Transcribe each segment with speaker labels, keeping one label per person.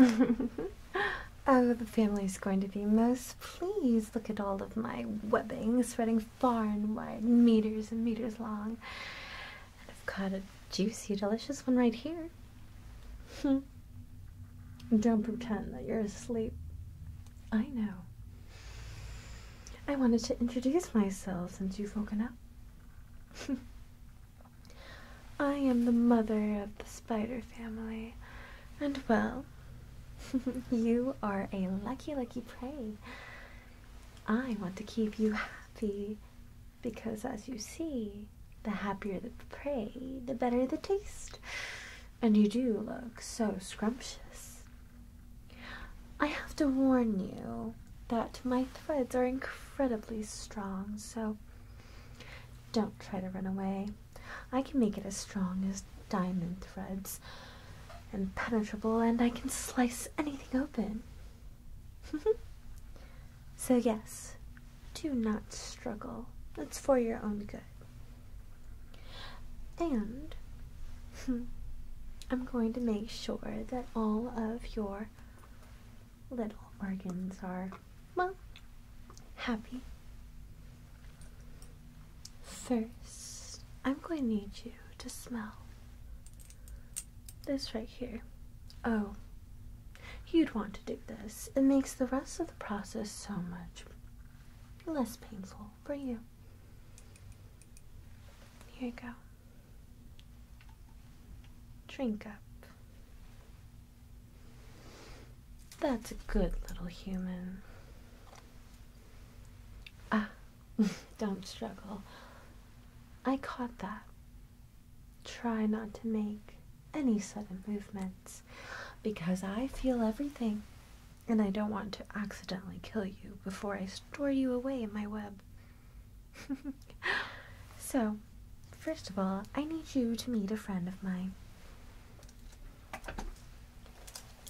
Speaker 1: oh, the family is going to be most pleased. Look at all of my webbing spreading far and wide, meters and meters long. I've got a juicy, delicious one right here. Don't pretend that you're asleep. I know. I wanted to introduce myself since you've woken up. I am the mother of the spider family, and well, you are a lucky, lucky prey. I want to keep you happy because, as you see, the happier the prey, the better the taste. And you do look so scrumptious. I have to warn you that my threads are incredibly strong, so don't try to run away. I can make it as strong as diamond threads, impenetrable, and I can slice anything open. so, yes, do not struggle. It's for your own good. And hmm, I'm going to make sure that all of your little organs are, well, happy. First, I'm going to need you to smell this right here. Oh, you'd want to do this. It makes the rest of the process so much less painful for you. Here you go. Drink up. That's a good little human. Ah, don't struggle. I caught that. Try not to make any sudden movements because I feel everything and I don't want to accidentally kill you before I store you away in my web. so, first of all, I need you to meet a friend of mine.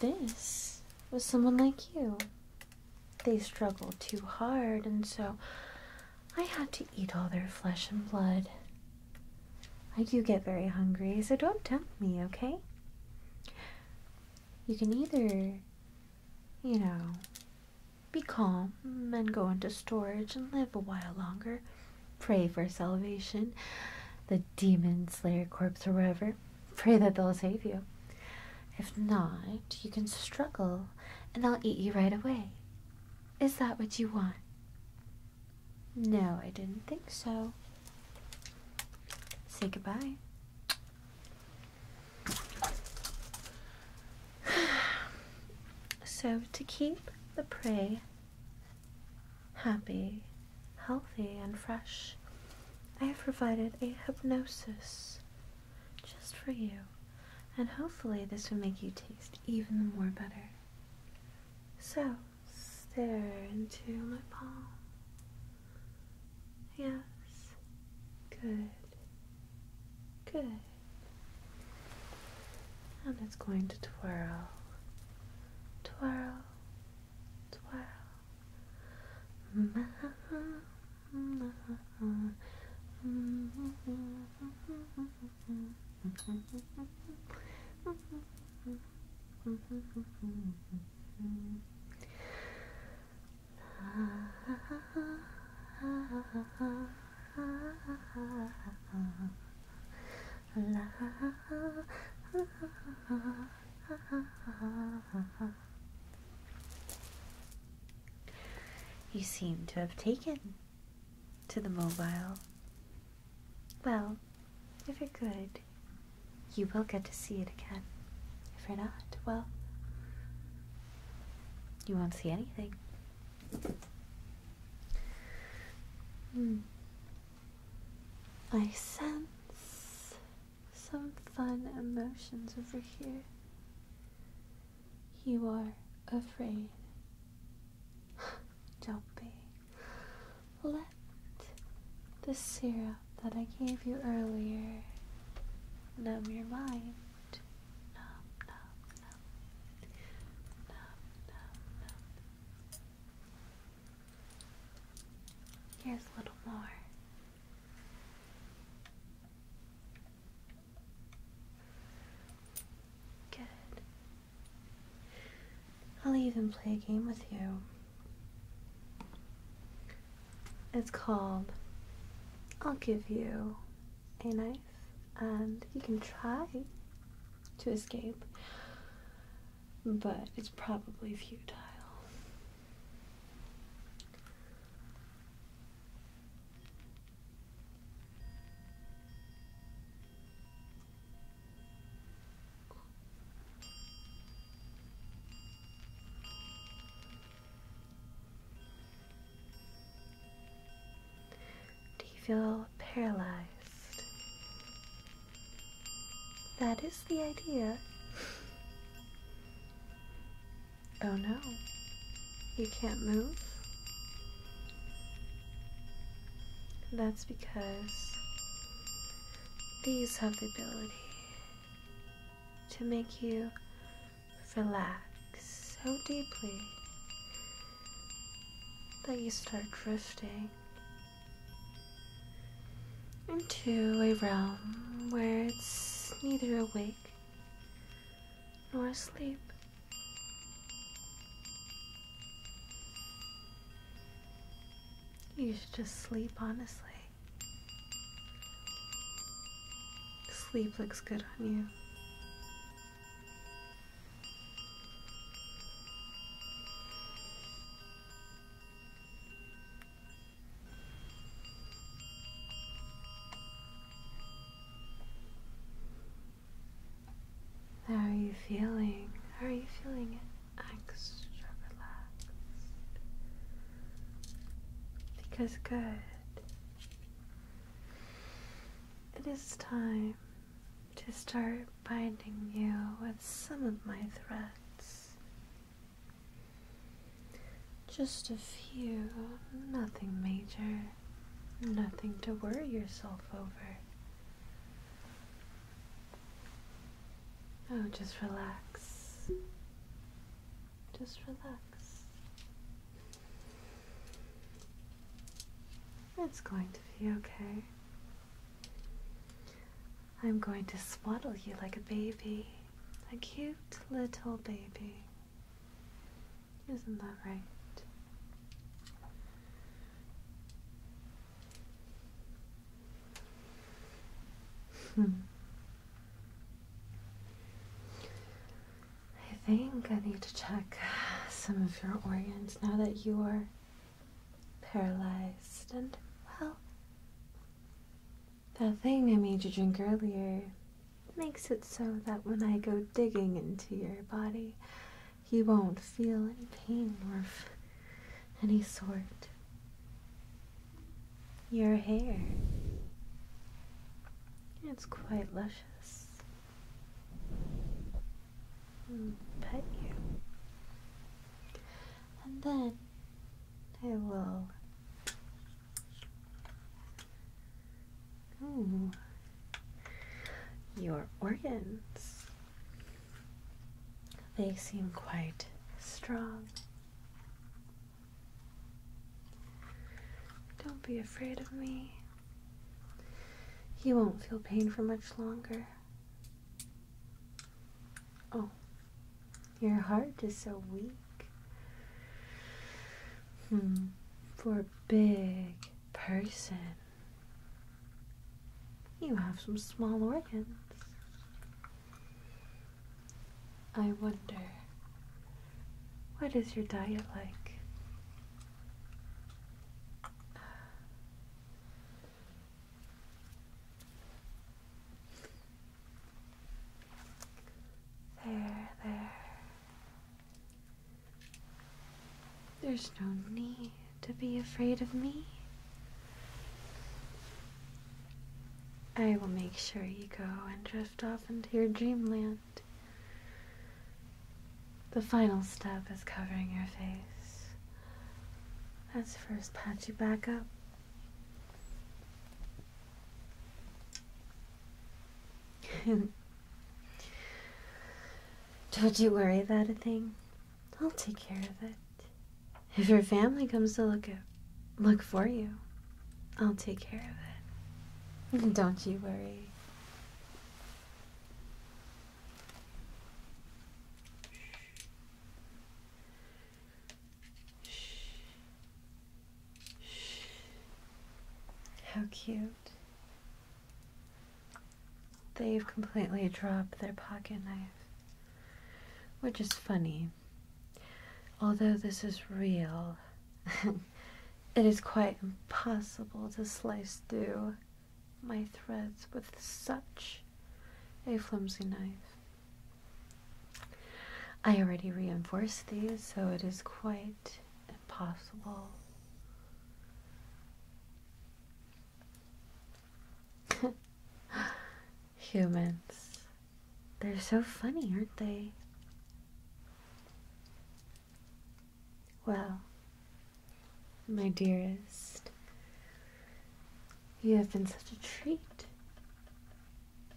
Speaker 1: This was someone like you. They struggled too hard, and so I had to eat all their flesh and blood. I do get very hungry, so don't tempt me, okay? You can either, you know, be calm and go into storage and live a while longer, pray for salvation, the demon slayer corpse or whatever, pray that they'll save you. If not, you can struggle and they will eat you right away. Is that what you want? No, I didn't think so. Say goodbye. So, to keep the prey happy, healthy, and fresh, I have provided a hypnosis just for you, and hopefully, this will make you taste even more better. So, stare into my palm. Yes. Good. Good. And it's going to twirl. Twirl. Twirl. You seem to have taken to the mobile. Well, if it could you will get to see it again. If you're not, well, you won't see anything. Hmm. I
Speaker 2: sense
Speaker 1: some fun emotions over here. You are afraid. Don't be. Let the syrup that I gave you earlier numb your mind. Numb, numb, numb. Numb, numb, numb. Here's a little more. Good. I'll even play a game with you. It's called I'll Give You a Knife, and you can try to escape, but it's probably futile. Do you feel paralyzed? That is the idea. oh no, you can't move. That's because these have the ability to make you relax so deeply that you start drifting into a realm where it's neither awake nor asleep. You should just sleep, honestly. Sleep looks good on you. How are you feeling? How are you feeling extra relaxed? Because good. It is time to start binding you with some of my threads. Just a few, nothing major, nothing to worry yourself over. Oh, just relax. Just relax. It's going to be okay. I'm going to swaddle you like a baby, a cute little baby. Isn't that right? Hmm. I think I need to check some of your organs now that you are paralyzed and well. That thing I made you drink earlier makes it so that when I go digging into your body, you won't feel any pain or of any sort. Your hair. It's quite luscious. Mm, pet you. And then I will. Ooh. Your organs. They seem quite strong. Don't be afraid of me. You won't feel pain for much longer. Oh, your heart is so weak. Hmm, for a big person. You have some small organs. I wonder, what is your diet like? There, there. There's no need to be afraid of me. I will make sure you go and drift off into your dreamland. The final step is covering your face. Let's first patch you back up. Don't you worry about a thing. I'll take care of it. If your family comes to look at, look for you, I'll take care of it. Don't you worry. How cute. They've completely dropped their pocket knife, which is funny. Although this is real, it is quite impossible to slice through my threads with such a flimsy knife. I already reinforced these, so it is quite possible. Humans. They're so funny, aren't they? Well, my dearest, you have been such a treat.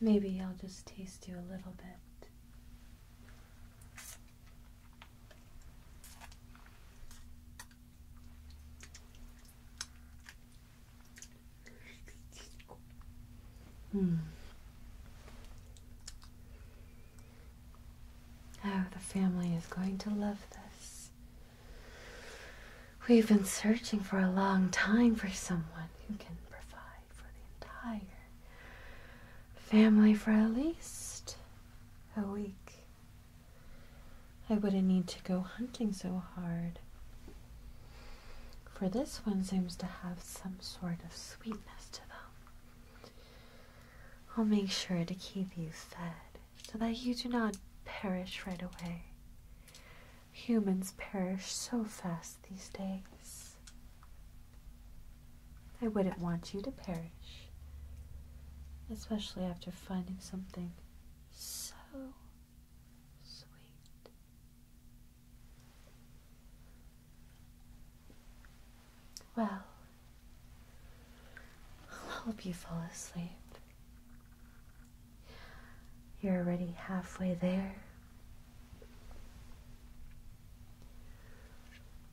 Speaker 1: Maybe I'll just taste you a little bit. Hmm. Oh, the family is going to love this. We've been searching for a long time for someone who can provide for the entire family for at least a week. I wouldn't need to go hunting so hard. For this one seems to have some sort of sweetness to them. I'll make sure to keep you fed so that you do not perish right away. Humans perish so fast these days. I wouldn't want you to perish, especially after finding something
Speaker 2: so sweet.
Speaker 1: Well, I'll help you fall asleep. You're already halfway there.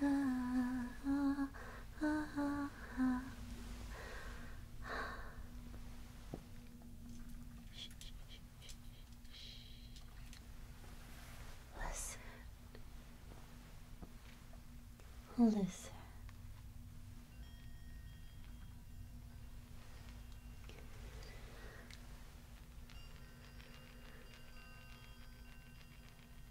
Speaker 2: Listen. Listen.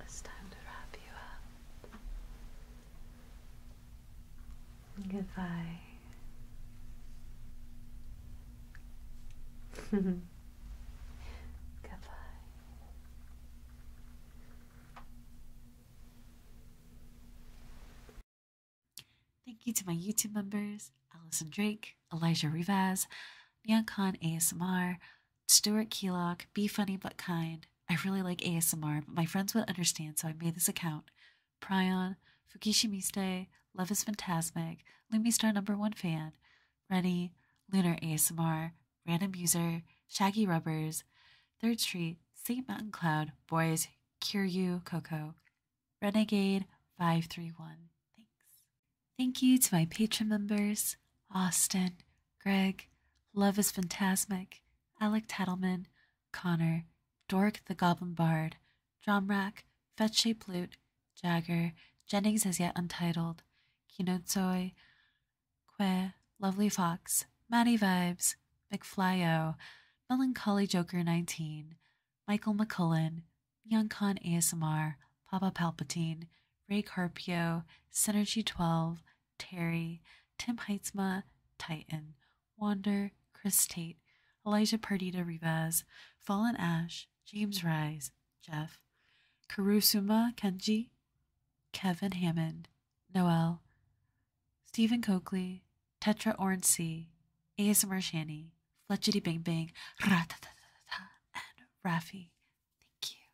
Speaker 1: It's time to wrap you up. Goodbye.
Speaker 2: Goodbye.
Speaker 3: Thank you to my YouTube members, Allison Drake, Elijah Rivas, Nyankon ASMR, Stuart Keelock, Be Funny But Kind. I really like ASMR, but my friends would understand, so I made this account. Prion, Fukishimiste, Love is Phantasmic, Lumistar Number One Fan, Rennie, Lunar ASMR, Random User, Shaggy Rubbers, Third Street, St. Mountain Cloud, Boys, Cure You, Coco, Renegade 531. Thanks. Thank you to my patron members Austin, Greg, Love is Phantasmic, Alec Tattelman, Connor, Dork the Goblin Bard, Drumrack, Fetche Plute, Jagger, Jennings as yet untitled, Kinotsoi, Que, Lovely Fox, Matty Vibes, McFlyo, Melancholy Joker 19, Michael McCullin. Young Khan ASMR, Papa Palpatine, Ray Carpio, Synergy 12, Terry, Tim Heitzma, Titan, Wander, Chris Tate, Elijah Perdita Rivas, Fallen Ash, James Rise, Jeff, Karusuma Kenji, Kevin Hammond, Noel, Stephen Coakley, Tetra Orncy, ASMR Shanny, Fletchity Bing Bing,
Speaker 2: ra da da da da, and Rafi. Thank you.